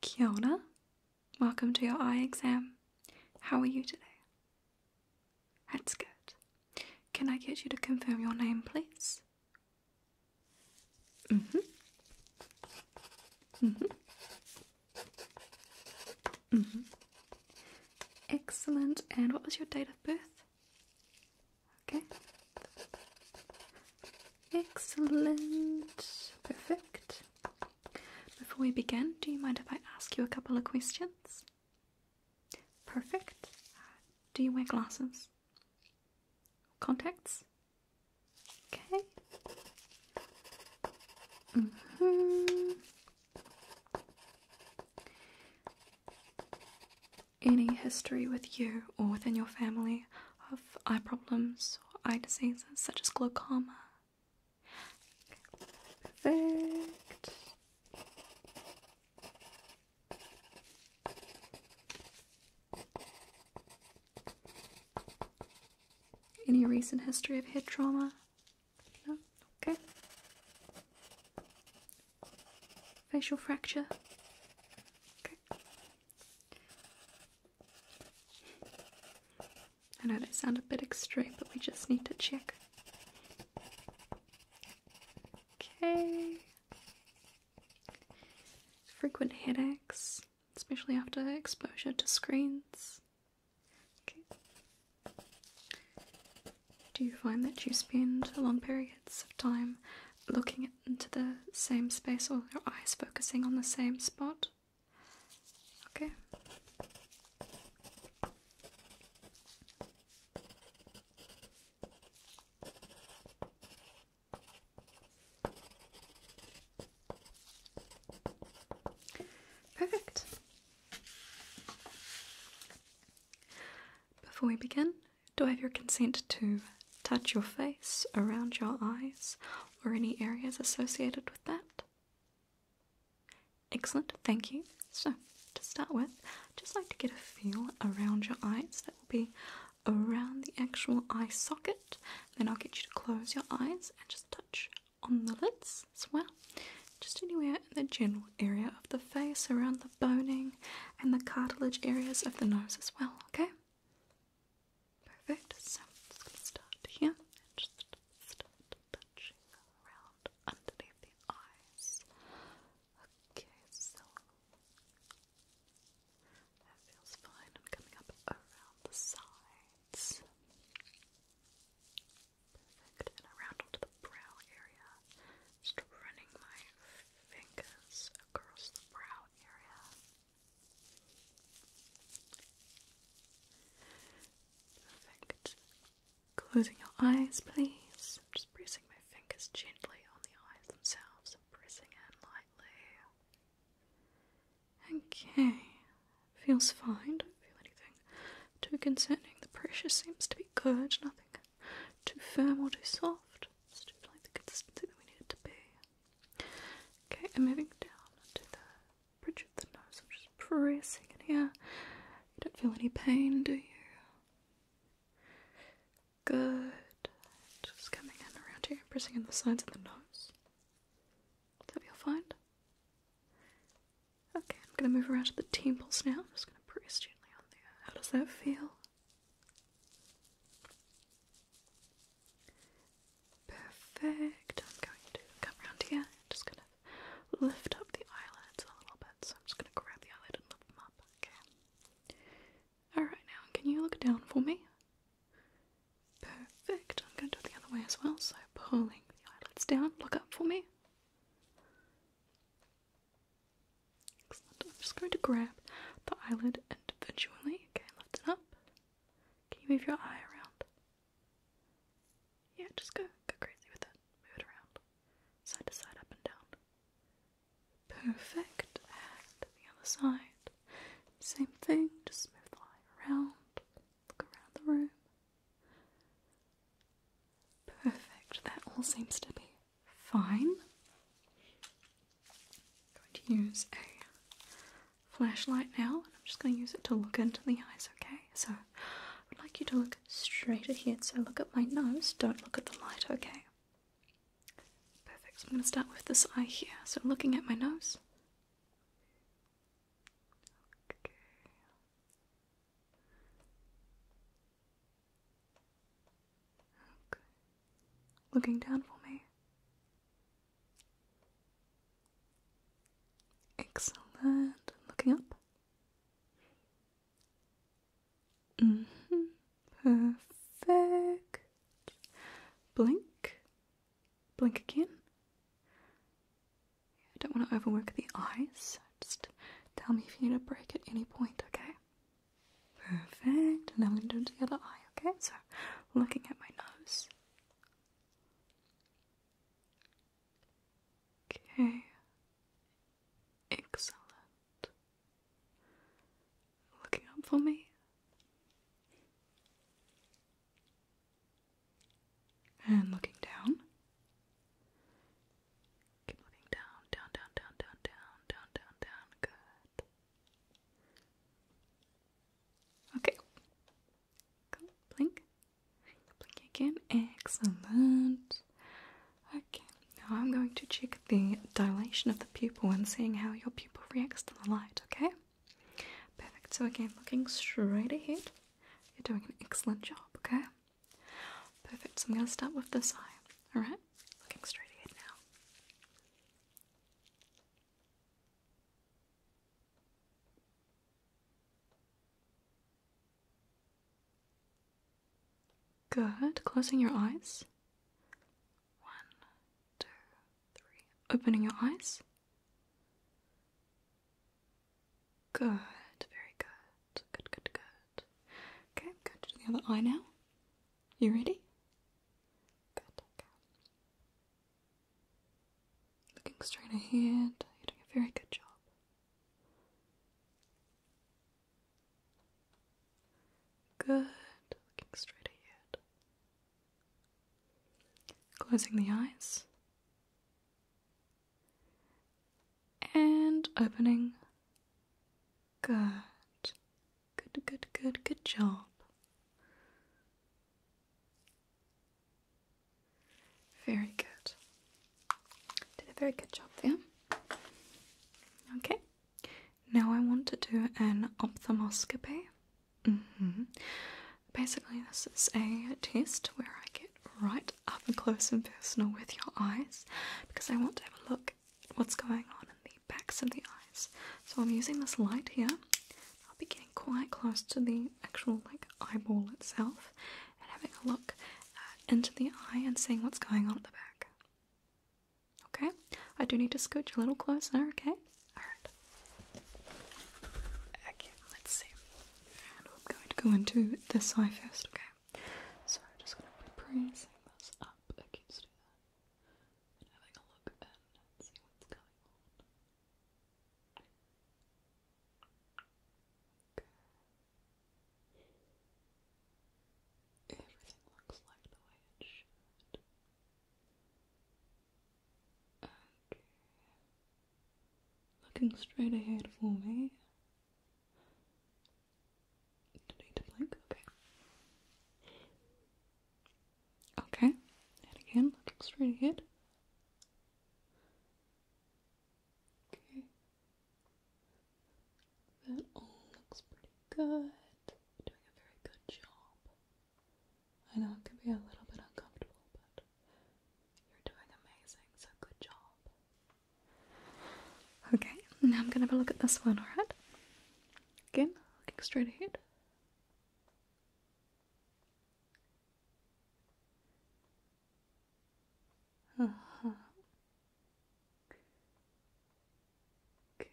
Kia Welcome to your eye exam. How are you today? That's good. Can I get you to confirm your name, please? Mm-hmm. Mm-hmm. mm-hmm. Excellent. And what was your date of birth? Okay. Excellent. Perfect. Before we begin, do you mind if I ask you a couple of questions? Perfect. Do you wear glasses? Contacts? Okay. Mm -hmm any history with you or within your family of eye problems or eye diseases such as glaucoma. Perfect. Any recent history of head trauma? No? Okay facial fracture. I know they sound a bit extreme, but we just need to check. Okay. Frequent headaches, especially after exposure to screens. Do you find that you spend long periods of time looking into the same space or your eyes focusing on the same spot? Okay. Perfect. Before we begin, do I have your consent to touch your face, around your eyes, or any areas associated with that? Excellent, thank you. So, to start with, I'd just like to get a feel around your eyes. That will be around the actual eye socket. Then I'll get you to close your eyes and just touch on the lids as well. Just anywhere in the general area of the face, around the boning and the cartilage areas of the nose as well, okay? Perfect. So I'm start here and just start touching around underneath the eyes. Okay, so that feels fine. I'm coming up around the sides. Perfect. And around all the brow area. Just running my fingers across the brow area. Perfect. Closing your eyes, please. I'm just pressing my fingers gently on the eyes themselves and pressing in lightly. Okay, feels fine. Don't feel anything too concerning. The pressure seems to be good. Nothing too firm or too soft? Let's the consistency that we need to be. Okay, I'm moving down to the bridge of the nose. I'm just pressing in here. You don't feel any pain, do you? Good. Just coming in around here, pressing in the sides of the nose. Does that feel fine? Okay, I'm gonna move around to the temples now. I'm just gonna press gently on there. How does that feel? Perfect. I'm going to come around here. I'm just gonna lift up the eyelids a little bit. So I'm just gonna grab the eyelid and lift them up. Okay. Alright now, can you look down for me? Perfect. I'm gonna do it the other way as well. So pulling the eyelids down, look up for me. Excellent. I'm just going to grab the eyelid and eventually, Okay, lift it up. Can you move your eye around? Yeah, just go go crazy with it. Move it around. Side to side, up and down. Perfect. And the other side. Same thing, just move the eye around. Look around the room. Perfect, that all seems to be fine. I'm going to use a flashlight now, and I'm just going to use it to look into the eyes, okay? So I would like you to look straight ahead. So look at my nose, don't look at the light, okay? Perfect, so I'm going to start with this eye here. So looking at my nose. Okay. Looking down for me. Excellent. Looking up. -hmm. Perfect. Blink. Blink again. I don't want to overwork the eyes. Just tell me if you need a break at any point, okay? Perfect. And I'm going to do the other eye, okay? So, looking at my nose. Okay. Excellent. Looking up for me. And looking down. Keep moving down, down, down, down, down, down, down, down, down. Good. Okay. Go blink. Blink again. Excellent. Okay. Now I'm going to check the dilation of the pupil and seeing how your pupil reacts to the light, okay? Perfect. So again, looking straight ahead. You're doing an excellent job, okay? Perfect, so I'm going to start with this eye, alright? Looking straight ahead now. Good, closing your eyes. One, two, three. Opening your eyes. Good, very good. Good, good, good. Okay, I'm going to do the other eye now. You ready? Good, Looking straight ahead, you're doing a very good job. Good, looking straight ahead. Closing the eyes and opening. Good. Good, good, good, good job. Very good. Did a very good job there. Okay. Now I want to do an ophthalmoscopy. Mm-hmm. Basically, this is a test where I get right up and close and personal with your eyes because I want to have a look what's going on in the backs of the eyes. So I'm using this light here. I'll be getting quite close to the actual like eyeball itself and having a look uh, into the eye and seeing what's going on at the back. Okay? I do need to scooch a little closer, okay? Alright. let's see. And I'm going to go into this eye first, okay? so I'm just going to be pressing this up and having a look and see what's going on. Everything looks like the way it should. Okay. Looking straight ahead for me okay. Okay, again, that looks Okay. That all looks pretty good. You're doing a very good job. I know it can be a little bit uncomfortable, but you're doing amazing, so good job. Okay, now I'm gonna have a look at this one, alright? Again, looking straight ahead. Uh-huh. Okay,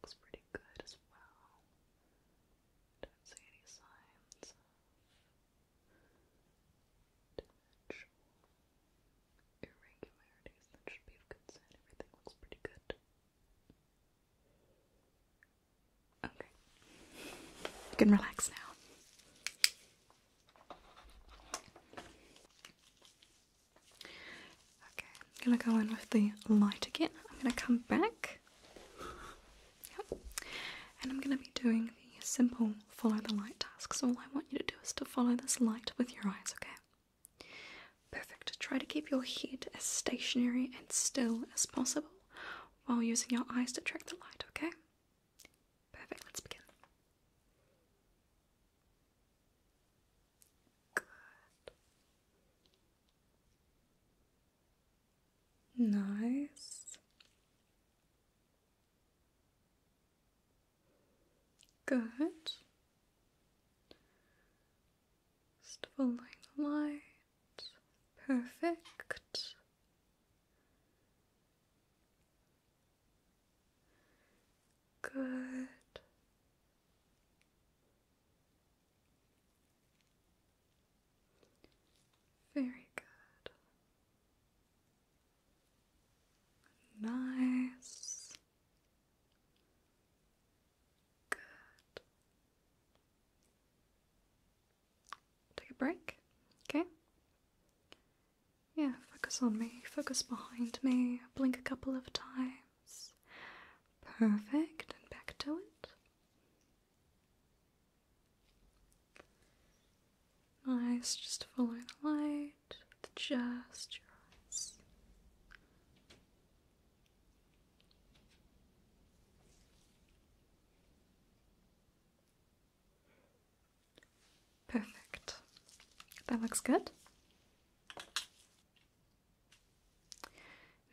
looks pretty good as well. Don't see any signs irregularities that should be of concern. Everything looks pretty good. Okay. You can relax now. Okay, I'm gonna go in with the light again. I'm gonna come back Yep. And I'm going to be doing the simple follow the light task. So all I want you to do is to follow this light with your eyes, okay? Perfect. Try to keep your head as stationary and still as possible while using your eyes to track the light, okay? Perfect. Let's begin. Good. Nice. Good. Just following the light. Perfect. Good. Very good. Nice. Good. Take a break, okay? Yeah, focus on me, focus behind me, blink a couple of times. Perfect, and back to it. Nice, just follow the light with just your eyes. Perfect. That looks good.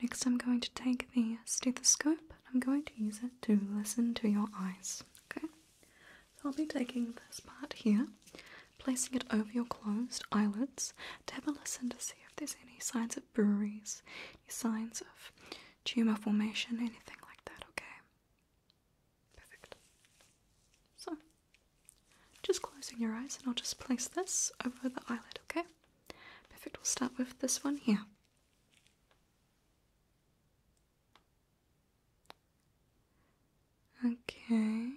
Next, I'm going to take the stethoscope I'm going to use it to listen to your eyes. Okay, so I'll be taking this part here, placing it over your closed eyelids to have a listen to see if there's any signs of breweries, signs of tumor formation, anything like that. Okay, perfect. So, just closing your eyes, and I'll just place this over the eyelid. Okay, perfect. We'll start with this one here. Okay.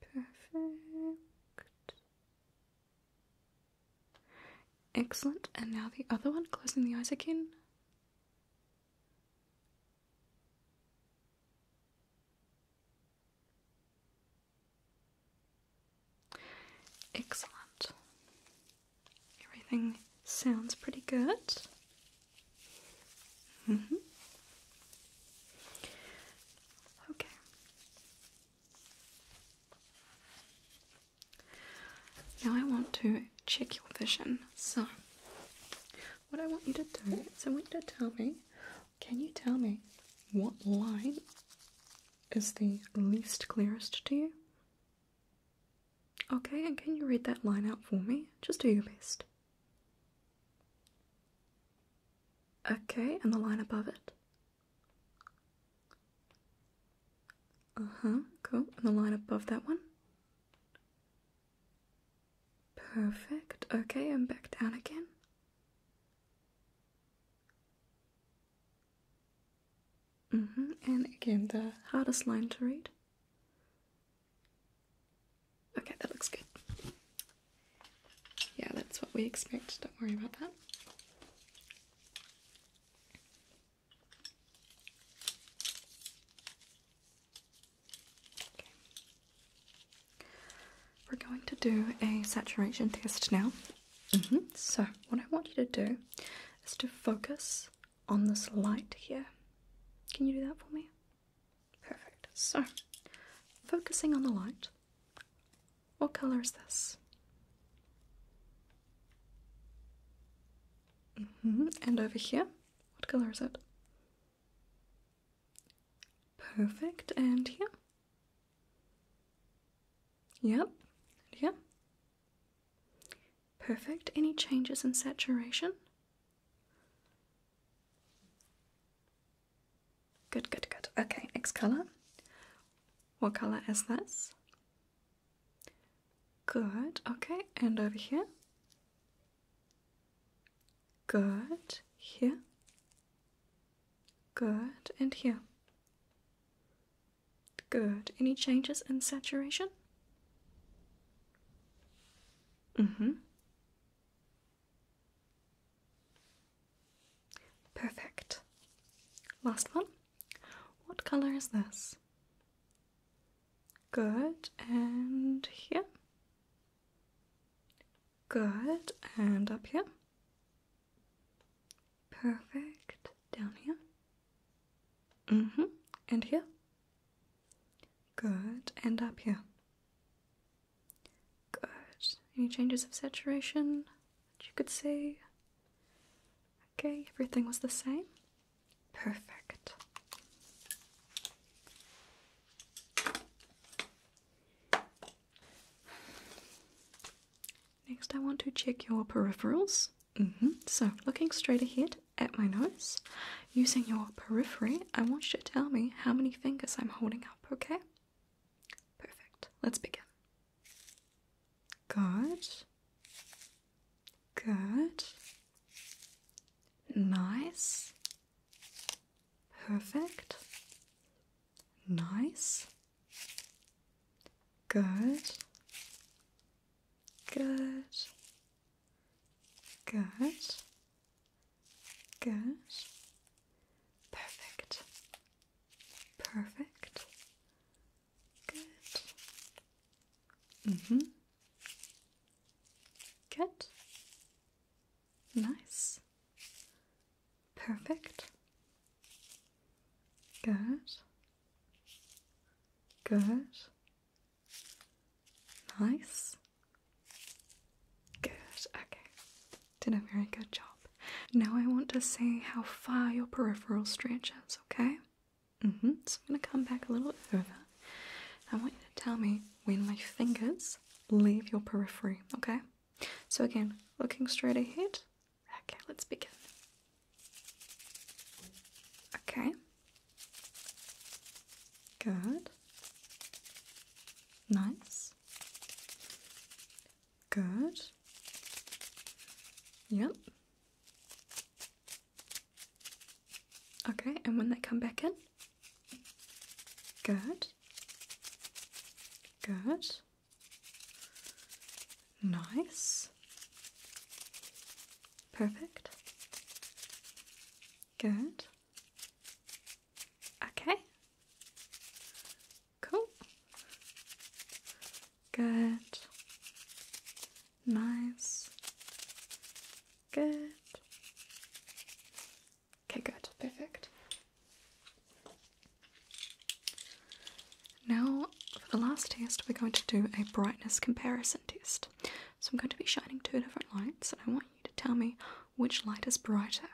Perfect. Excellent. And now the other one, closing the eyes again. Excellent. Everything sounds pretty good. Mm-hmm. Okay. Now I want to check your vision. So, what I want you to do is I want you to tell me can you tell me what line is the least clearest to you? Okay, and can you read that line out for me? Just do your best. Okay, and the line above it. Uh huh, cool. And the line above that one. Perfect. Okay, and back down again. Mm-hmm. And again, the hardest line to read. Okay, that looks good. Yeah, that's what we expect. Don't worry about that. Okay. We're going to do a saturation test now, Mm-hmm. So, what I want you to do is to focus on this light here. Can you do that for me? Perfect. So, focusing on the light, what color is this? Mm-hmm. And over here, what color is it? Perfect. And here? Yep. Yep. Perfect. Any changes in saturation? Good, good, good. Okay, next colour. What colour is this? Good, okay, and over here. Good, here. Good, and here. Good. Any changes in saturation? Mm-hmm. Perfect. Last one. What color is this? Good. And here? Good. And up here? Perfect. Down here. hmm. And here. Good. And up here. Good. Any changes of saturation that you could see? Okay, everything was the same. Perfect. Next, I want to check your peripherals. Mm-hmm. So, looking straight ahead at my nose, using your periphery, I want you to tell me how many fingers I'm holding up, okay? Perfect. Let's begin. Good. Good. Nice. Perfect. Nice. Good. Good. Good. Good. Perfect. Perfect. Good. Mm-hmm. Good. Nice. Perfect. Good. Good. Nice. Good. Okay. Did a very good job. Now I want to see how far your peripheral stretches, okay? hmm. So I'm going to come back a little bit further. I want you to tell me when my fingers leave your periphery, okay? So again, looking straight ahead, Okay, let's begin. Okay. Good. Nice. Good. Yep. Okay, and when they come back in? Good. Good. Nice. Perfect. Good. Okay. Cool. Good. Nice. Good. Okay, good. Perfect. Now, for the last test, we're going to do a brightness comparison test. So I'm going to be shining two different lights, and I want you to tell me which light is brighter.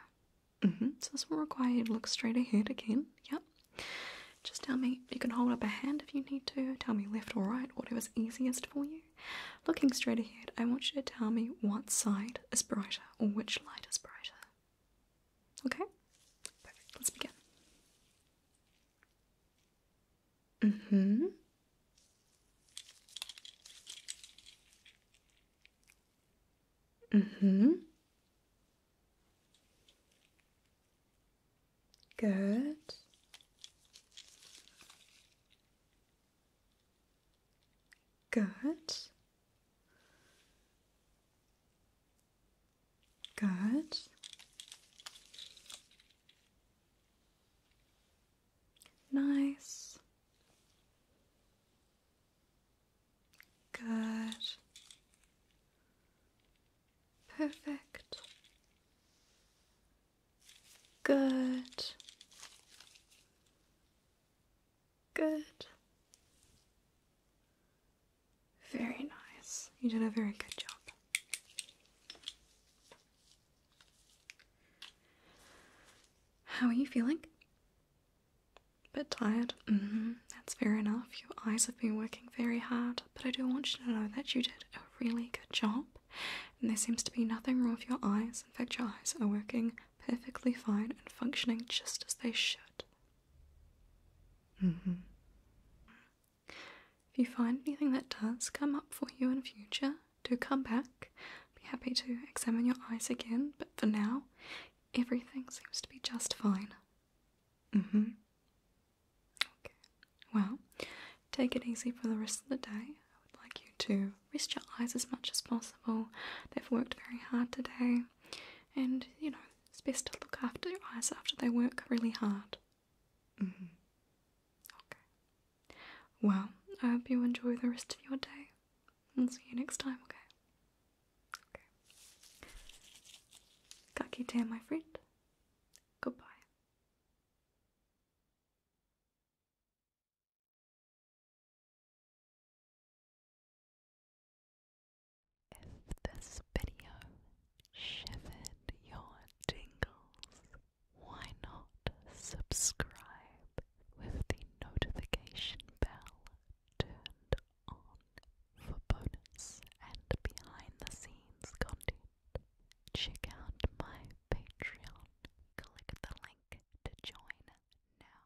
Mm-hmm. So this will require you to look straight ahead again. Yep. Just tell me, you can hold up a hand if you need to, tell me left or right, whatever's easiest for you. Looking straight ahead, I want you to tell me what side is brighter or which light is brighter. Okay? Let's begin. Mm-hmm. Mm-hmm. Good. Good. Good. Nice. Good. Perfect. Good. Good. Very nice. You did a very good job. How are you feeling? Bit tired? Mm-hmm. That's fair enough. Your eyes have been working very hard, but I do want you to know that you did a really good job. And there seems to be nothing wrong with your eyes. In fact, your eyes are working perfectly fine and functioning just as they should. Mm-hmm. If you find anything that does come up for you in future, do come back. be happy to examine your eyes again, but for now, everything seems to be just fine. Mm-hmm. Okay. Well, take it easy for the rest of the day. I would like you to rest your eyes as much as possible. They've worked very hard today. And, you know, it's best to look after your eyes after they work really hard. Mm-hmm. Okay. Well, I hope you enjoy the rest of your day. and see you next time, okay? Okay. Kakite, my friend. Goodbye. If this video shivered your tingles, why not subscribe with the notification bell turned on for bonus and behind the scenes content? Check out my Patreon. Click the link to join now.